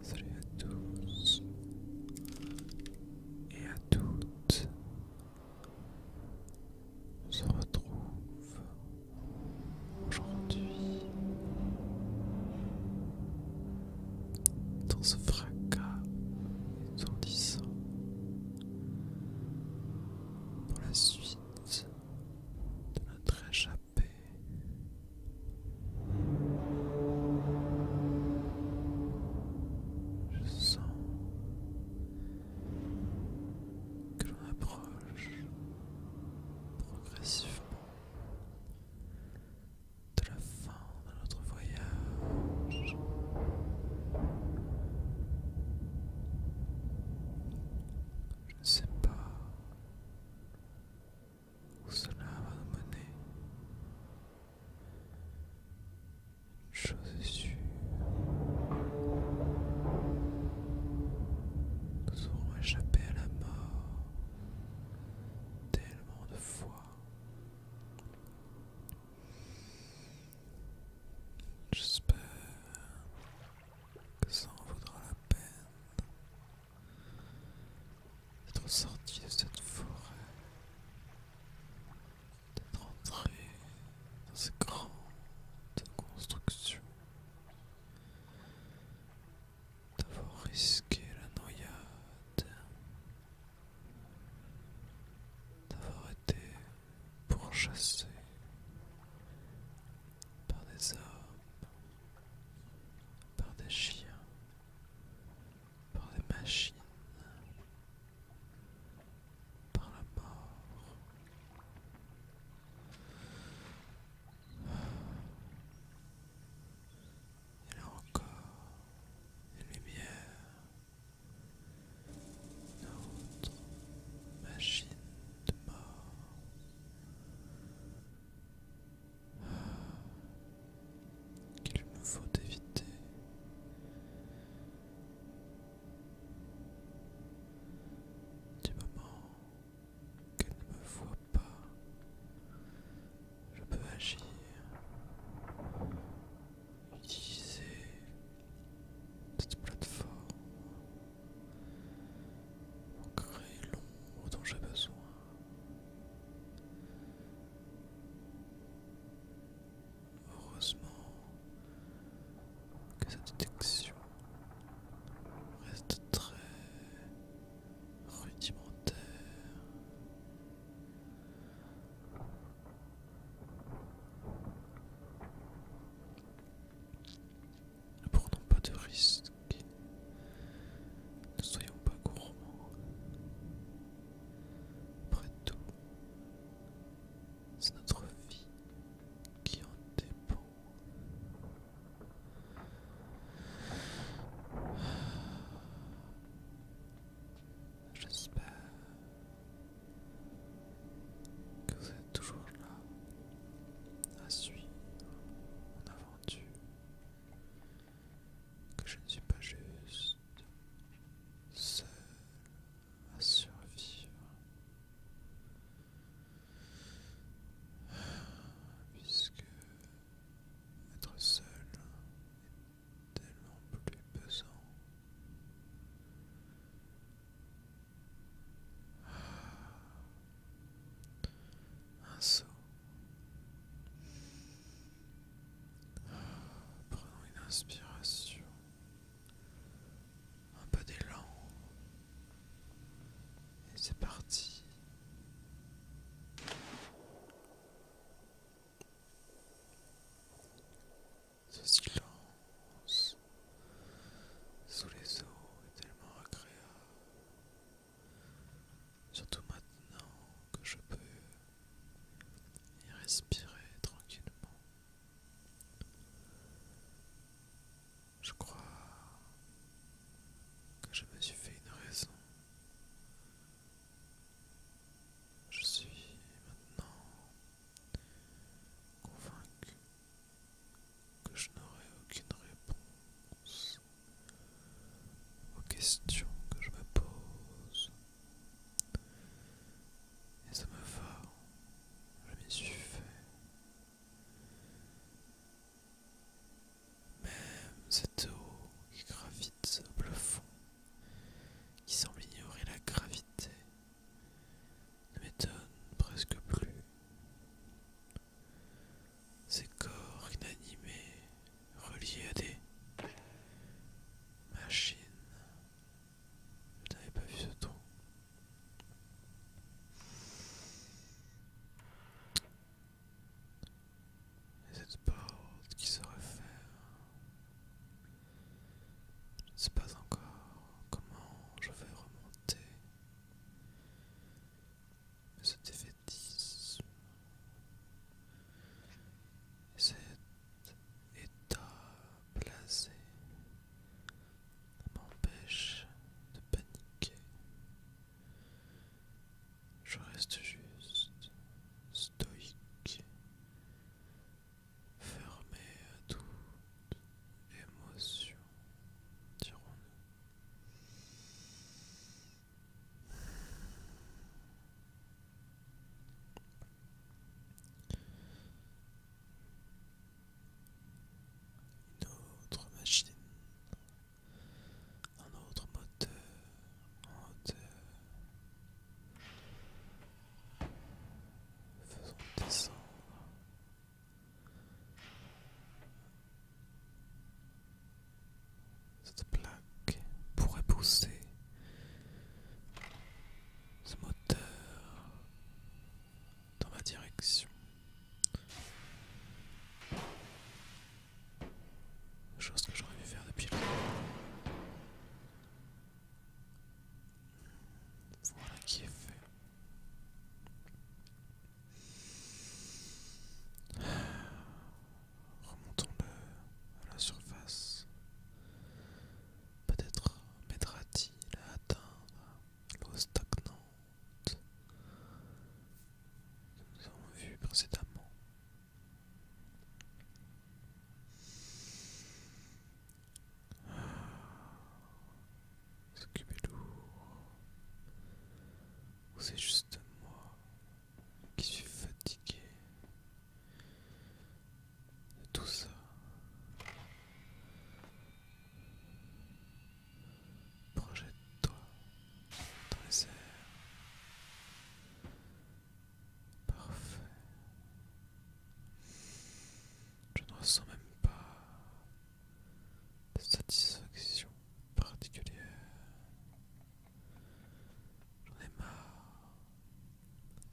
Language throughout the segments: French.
Salut à tous et à toutes. On se retrouve aujourd'hui dans ce fracas étourdissant pour la suite de notre échappée. Je sens que l'on approche progressivement de la fin de notre je ne sais pas où cela va nous mener. chose sûre. Nous aurons échappé à la mort tellement de fois J'espère que ça en vaudra la peine d'être sorti de cette forêt, d'être entré dans ces grandes constructions, d'avoir risqué la noyade d'avoir été pourchassé par des hommes, par des chiens, par des machines, par la mort. Et a encore les lumières machine de mort. qu'il me faut éviter. Du moment qu'elle ne me voit pas, je peux agir utiliser cette plateforme pour créer l'ombre dont j'ai besoin. Heureusement que cette détection reste très rudimentaire. Ne prenons pas de risques. Ne soyons pas gourmands. Après tout, c'est notre vie qui en dépend. J'espère que vous êtes toujours là à suivre mon aventure, que je ne suis pas juste seul à survivre. Puisque être seul tellement plus pesant. Ah. Un saut. Ah, prenons une inspiration. Un peu d'élan. Et c'est parti. Ce silence sous les eaux est tellement agréable, surtout maintenant que je peux y respirer tranquillement. Je crois que je me suis fait une raison je suis maintenant convaincu que je n'aurai aucune réponse aux questions que je me pose. Et ça me va, je m'y suis fait. Même cette eau qui gravite au fond qui semble ignorer la gravité, ne m'étonne presque plus. Ces corps inanimés reliés à des machines. Je n'avais pas vu ce ton. Et cette porte qui se referme. Je ne sais pas encore comment je vais remonter. Mais ce défaitisme cet état blasé m'empêche de paniquer. Je reste juste stoïque fermé à toute émotion, dirons-nous. Une autre machine, un autre moteur en hauteur, Faisons descendre. Cette plaque pourrait pousser ce moteur dans ma direction. Chose que j'aurais dû faire depuis longtemps. Voilà qui est fait. Remontons-le à la surface. peut être mettra m'aidera-t-il à atteindre l'eau stagnante que nous avons vue précédemment. S'occuper de c'est juste moi qui suis fatigué de tout ça. Projette-toi dans les airs. Parfait. Je ne ressens même pas de satisfaction particulière. J'en ai marre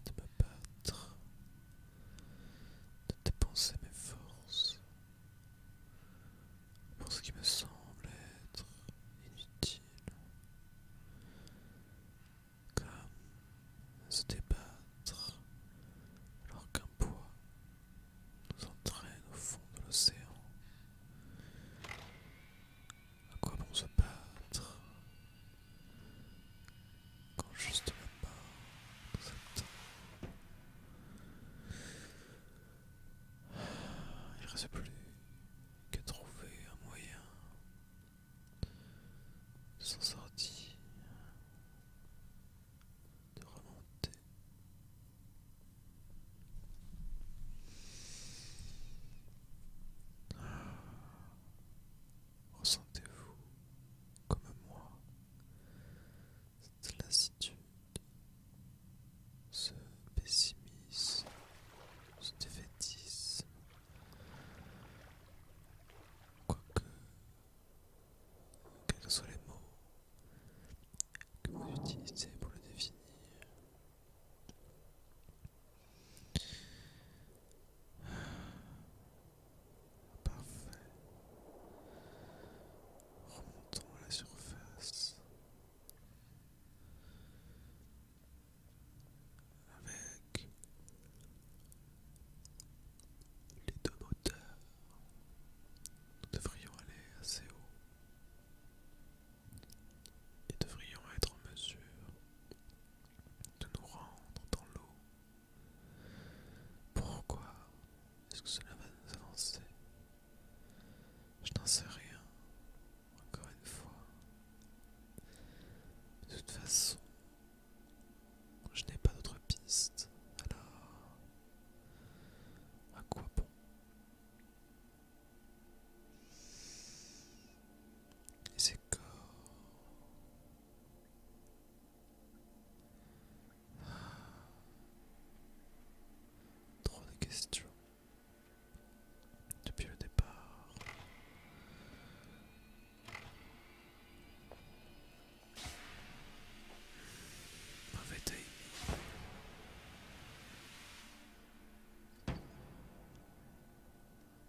de me battre, de dépenser mes forces pour ce qui me semble être inutile comme se débattre alors qu'un poids nous entraîne au fond de l'océan. À quoi bon se battre quand juste la pas nous attend Il ne reste plus qu'à trouver un moyen de s'en sortir, de remonter. Ah. Ressentez-vous comme moi cette lassitude, ce pessimisme, ce défaitisme Quoique, quels que soient les mots que vous utilisez pour le définir, Parfait. Remontons à la surface avec les deux moteurs, nous devrions aller assez haut et devrions être en mesure de nous rendre dans l'eau. Pourquoi est-ce que cela va nous avancer Je n'en sais rien. Encore une fois. De toute façon, je n'ai pas d'autre piste. Alors, à quoi bon Et quoi ah. Trop de questions depuis le départ. Mauvais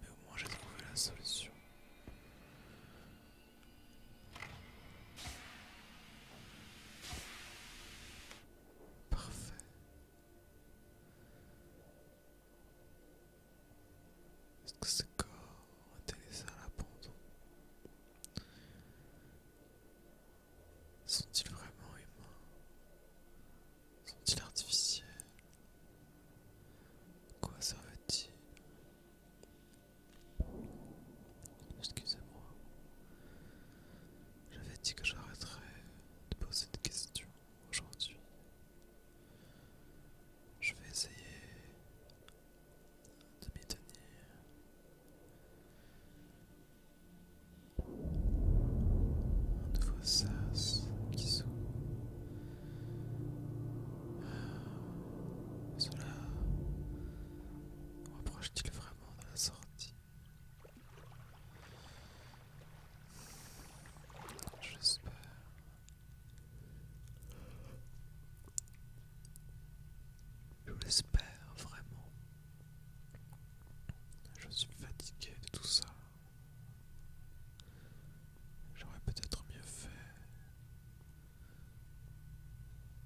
Mais au moins j'ai trouvé la solution. Parfait. Est-ce que ce corps ont été laissés à l'abandon Sont-ils vraiment humains Sont-ils artificiels Quoi ça veut dire Excusez-moi. J'avais dit que j'arrêterais de poser des questions aujourd'hui. Je vais essayer de m'y tenir. Un nouveau sas qui s'ouvre. Cela rapproche-t-il vraiment de la sortie J'espère. Je l'espère vraiment. Je suis fatigué de tout ça. J'aurais peut-être mieux fait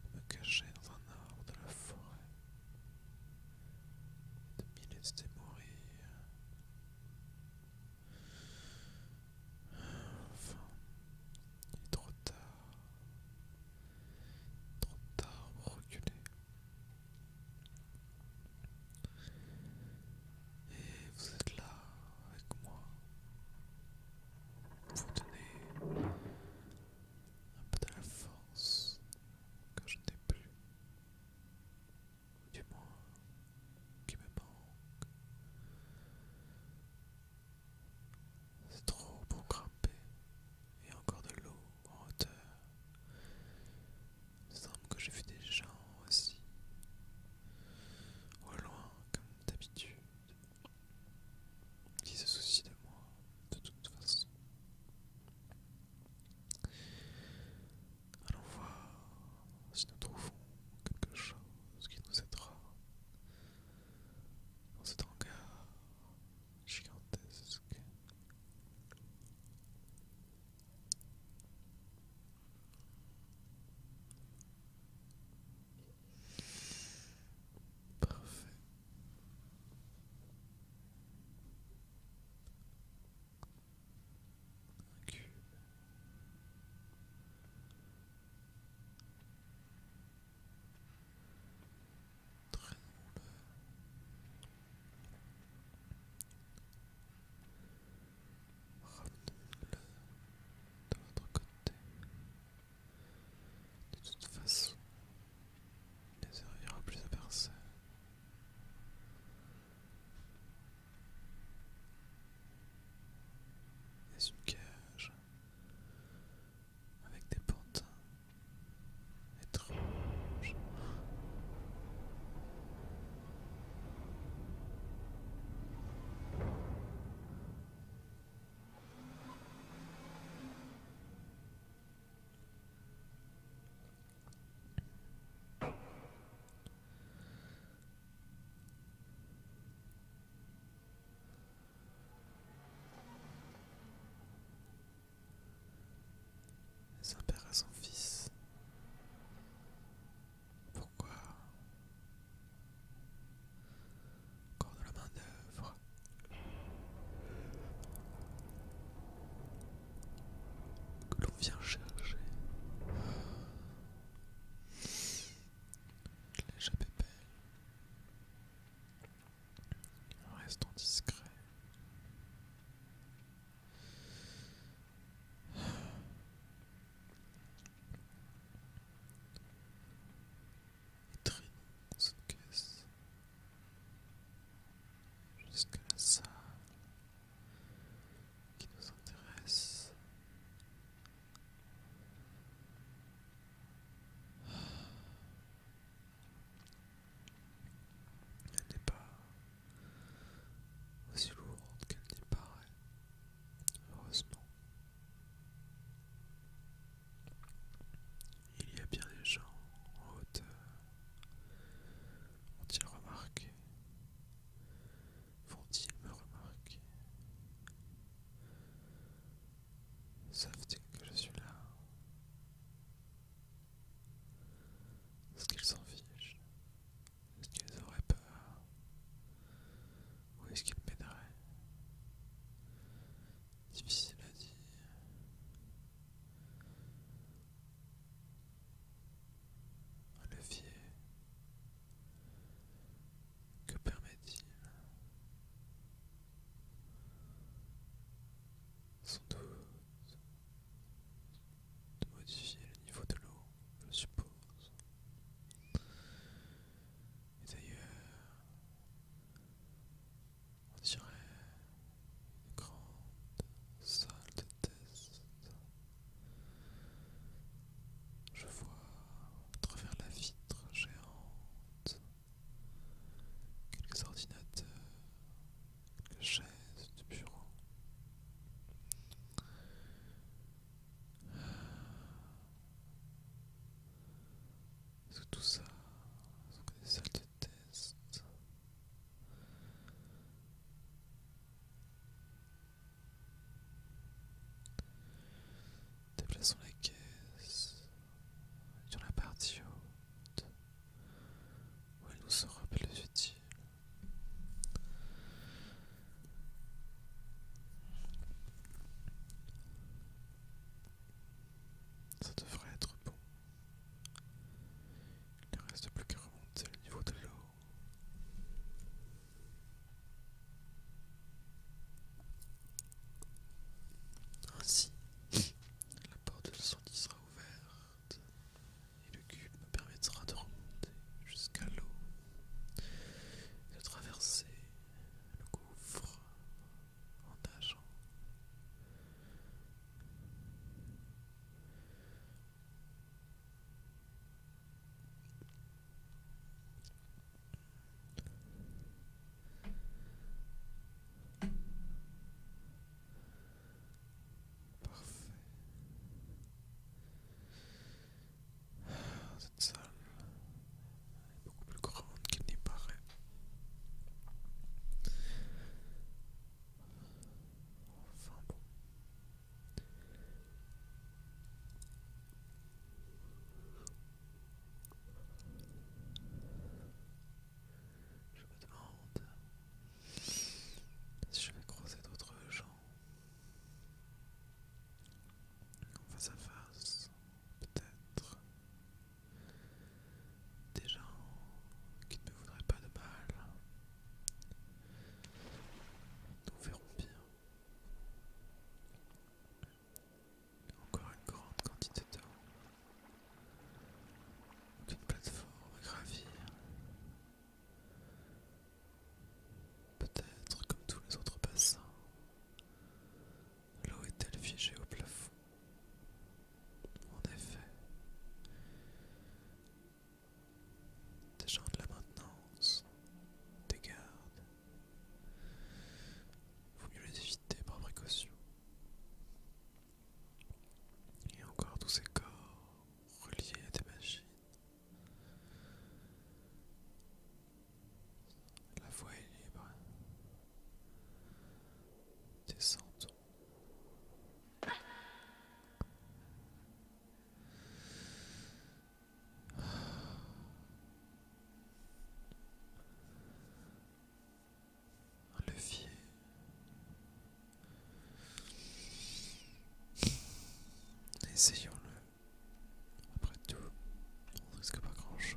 de me cacher dans un arbre de la forêt, de m'y laisser mourir il est trop tard. Trop tard pour reculer. Et vous êtes là avec moi. Vous donnez un peu de la force que je n'ai plus du moins qui me manque. C'est trop pour grimper, et encore de l'eau en hauteur. Il semble que j'ai vu des gens aussi, au loin comme d'habitude, qui se soucient de moi de toute façon. Allons voir si nous trouvons quelque chose qui nous aidera dans cet hangar gigantesque. Parfait un cube. Traîne le Ramenons-le de l'autre côté. De toute façon, il ne servira plus à personne est une cage avec des pantins étranges sa père à son fils. Pourquoi corps de la main d'œuvre que l'on vient chercher. Les belle, Restons discret. Et cette caisse jusqu'à la salle qui nous intéresse. Ah. Elle n'est pas aussi lourde qu'elle n'y paraît, heureusement. Il y a bien des gens en hauteur vont ils remarquer, Vont-ils me remarquer Savent-ils que je suis là Est-ce qu'ils s'en fichent Est-ce qu'ils auraient peur Où est-ce qu'ils m'aideraient Difficile à dire levier. Que permet-il Sans doute de modifier le niveau de l'eau, je suppose. Et d'ailleurs, on dirait une grande salle de test. Je vois à travers la vitre géante quelques ordinateurs, quelques chaises de bureau. Est-ce que tout ça sont des salles de Déplaçons la caisse sur la partie haute où elle nous sera plus utile. Ça devrait être bon. Il ne reste plus qu'à remonter le niveau de l'eau. Ainsi, la porte de sortie sera ouverte et le cube me permettra de remonter jusqu'à l'eau et de traverser le gouffre en nageant Parfait. Ah, cette salle est beaucoup plus grande qu'il n'y paraît. Je me demande si je vais croiser d'autres gens en face à face, peut-être des gens qui ne me voudraient pas de mal. Nous verrons bien. Encore une grande quantité d'eau. Une plateforme à gravir. Peut-être comme tous les autres bassins, l'eau est-elle figée au plafond en effet, des gens de la maintenance, des gardes, vaut mieux les éviter par précaution. Et encore tous ces corps reliés à des machines. La voie est libre. Descends le fier levier. Essayons-le. Après tout, on risque pas grand-chose.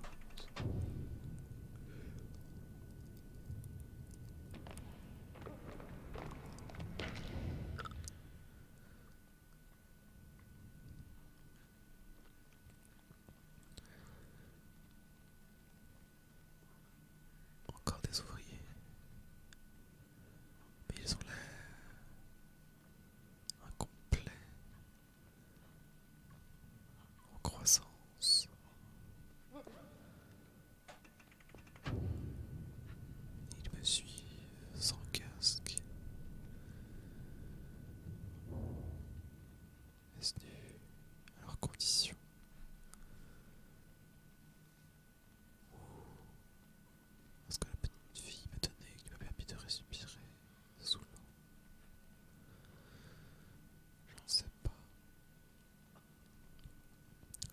Encore des ouvriers. Mais ils ont l'air incomplets. En croissance. Il me suit sans casque. Est-ce dû à leurs conditions Ou est-ce que la petite fille m'a donné qui m'a permis de respirer sous l'eau Je ne sais pas.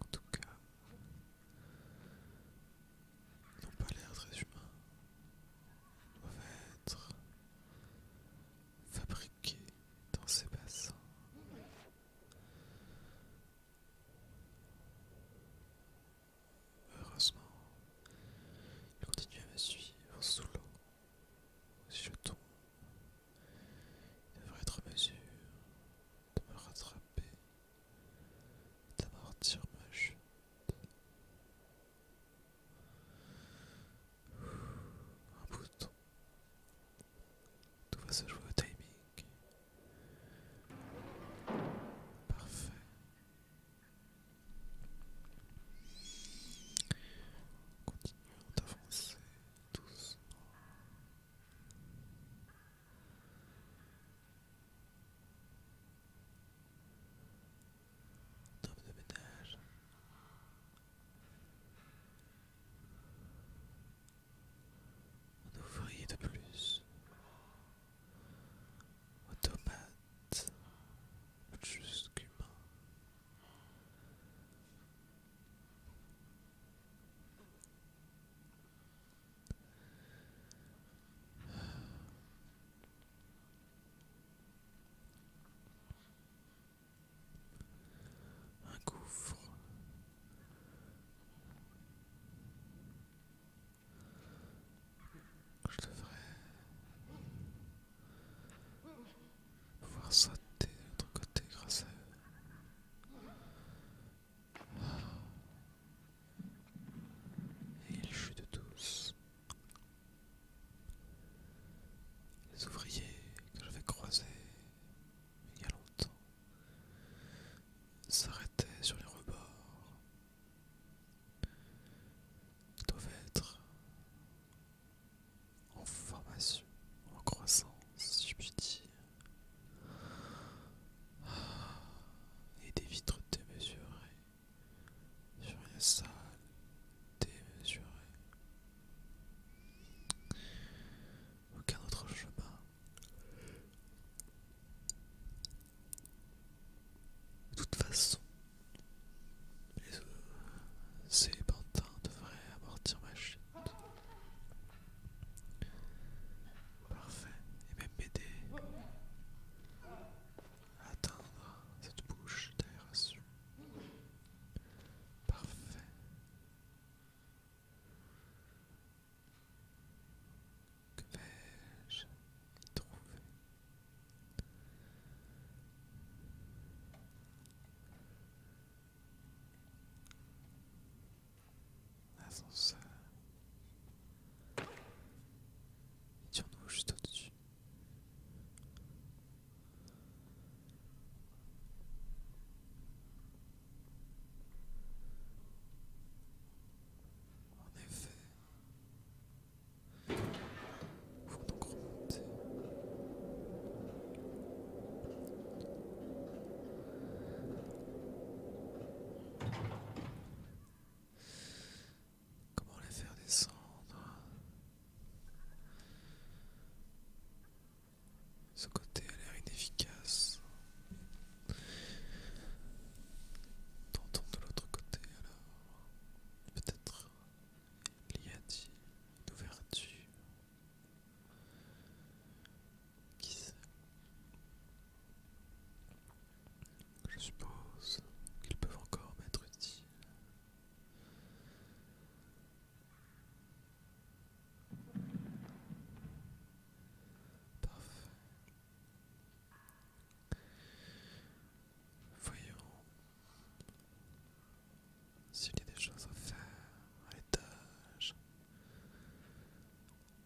En tout cas, ils n'ont pas l'air très humains. Ils doivent être fabriqués dans ces bassins. Heureusement, ils continue à me suivre sous l'eau. Si il devrait être en mesure de me rattraper, d'amortir ma chute. Un bouton. Tout va se jouer au timing. Parfait. Continuons d'avancer doucement. Un de ménage. Un ouvrier de plus. Automate. Jusqu'humain. Un gouffre. Je devrais pouvoir sauter de l'autre côté grâce à eux. Et il chute tous. Les ouvriers que j'avais croisés il y a longtemps s'arrêtaient sur les rebords. Ils doivent être en formation, en croissance, si je puis dire, et des vitres démesurées sur une salle démesurée. Aucun autre chemin. De toute façon, les, ces pantins devraient amortir ma chute. Parfait. Et même m'aider à atteindre cette bouche d'aération. Parfait. Que vais-je trouver Ascenseur. Étions-nous juste au-dessus. En effet, il faut donc remonter. Comment les faire descendre Ce côté a l'air inefficace. Tentons de l'autre côté alors. Peut-être il y a-t-il une Qui sait Je suppose qu'ils peuvent encore m'être utiles. Parfait. Voyons. S'il y a des choses à faire à l'étage,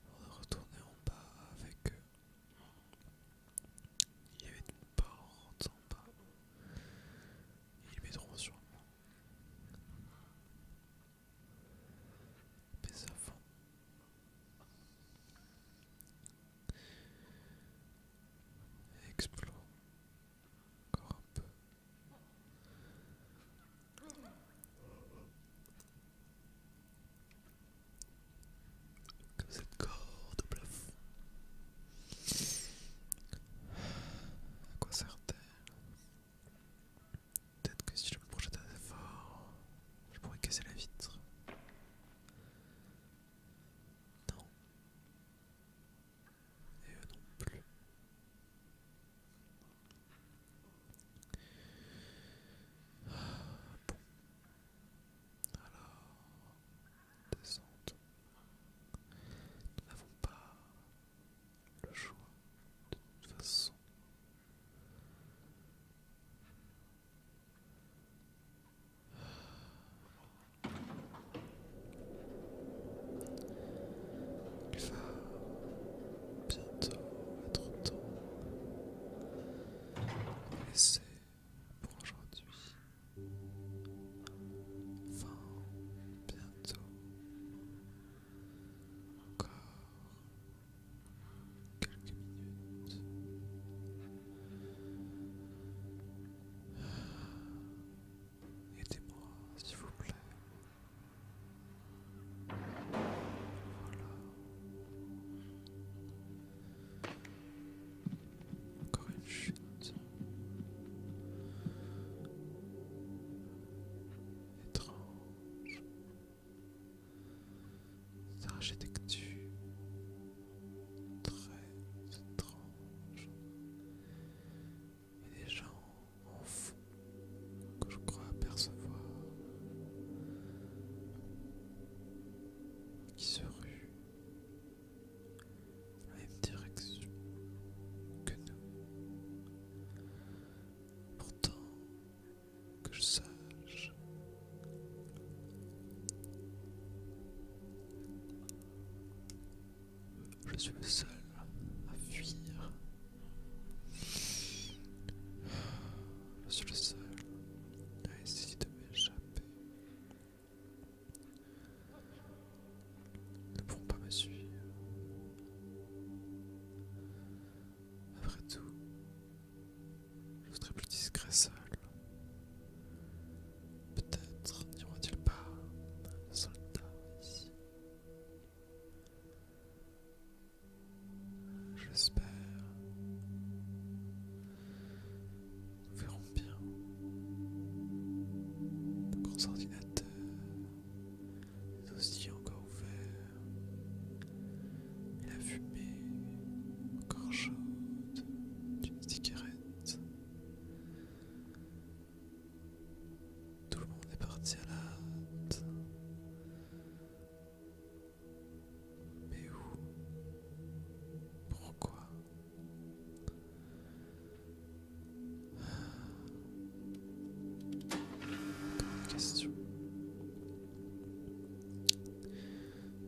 on va retourner en bas avec eux. Il y avait une porte en bas. Ils m'aideront sûrement. Mais avant, explore encore un peu. Comme cette corde au plafond. À quoi sert-elle Peut-être que si je me projette assez fort, je pourrais casser la vitre. Non. Et eux non plus. bon. Alors, descente. Nous n'avons pas le choix de toute façon. Il va bientôt être temps de laisser pour aujourd'hui. Enfin, bientôt. Encore quelques minutes. Aidez-moi, s'il vous plaît. Voilà. Encore une chute. Étrange. Cette architecture très étrange des gens en fond que je crois apercevoir qui se ruent dans la même direction que nous. Pourtant, que je sache, je suis le seul à fuir. Je suis le seul à essayer de m'échapper. Ils ne pourront pas me suivre. Après tout, je serai plus discret seul. Peut-être n'y aura-t-il pas un soldat ici. J'espère. Nous verrons bien. Le gros ordinateur est aussi encore ouvert. la fumée encore chaude d'une cigarette tout le monde est parti à la hâte. Mais où Pourquoi Comme question.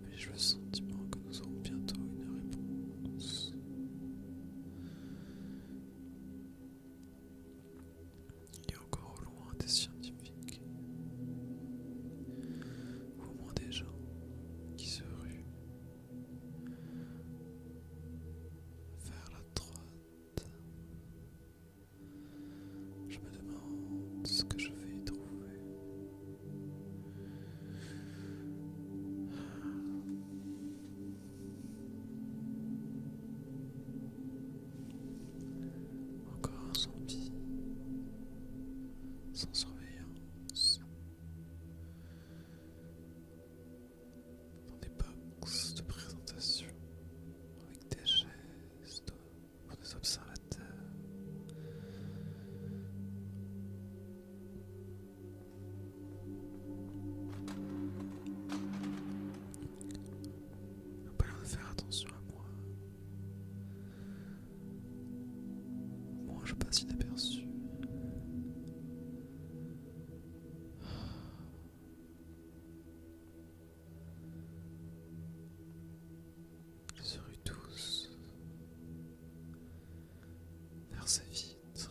Mais j'ai le sentiment que nous aurons bientôt une réponse. Il y a encore au loin des scientifiques, au moins des gens qui se ruent vers la droite. Je me demande ce que je vais y trouver. Encore un zombie. Sans surveillance. Dans des boxes de présentation. Avec des gestes pour des observateurs. J'ai pas l'air de faire attention à moi. Moi je passe inaperçu. Ils se tous vers sa vie. Mais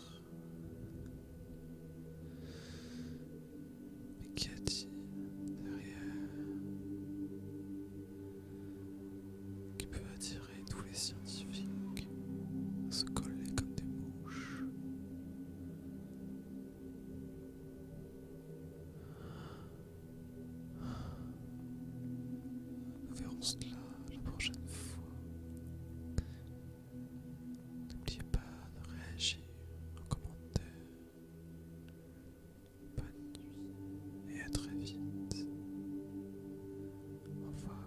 qui a t derrière qui peut attirer tous les scientifiques se coller comme des mouches nous verrons cela la prochaine fois. N'oubliez pas de réagir en commentaire. Bonne nuit et à très vite. Au revoir.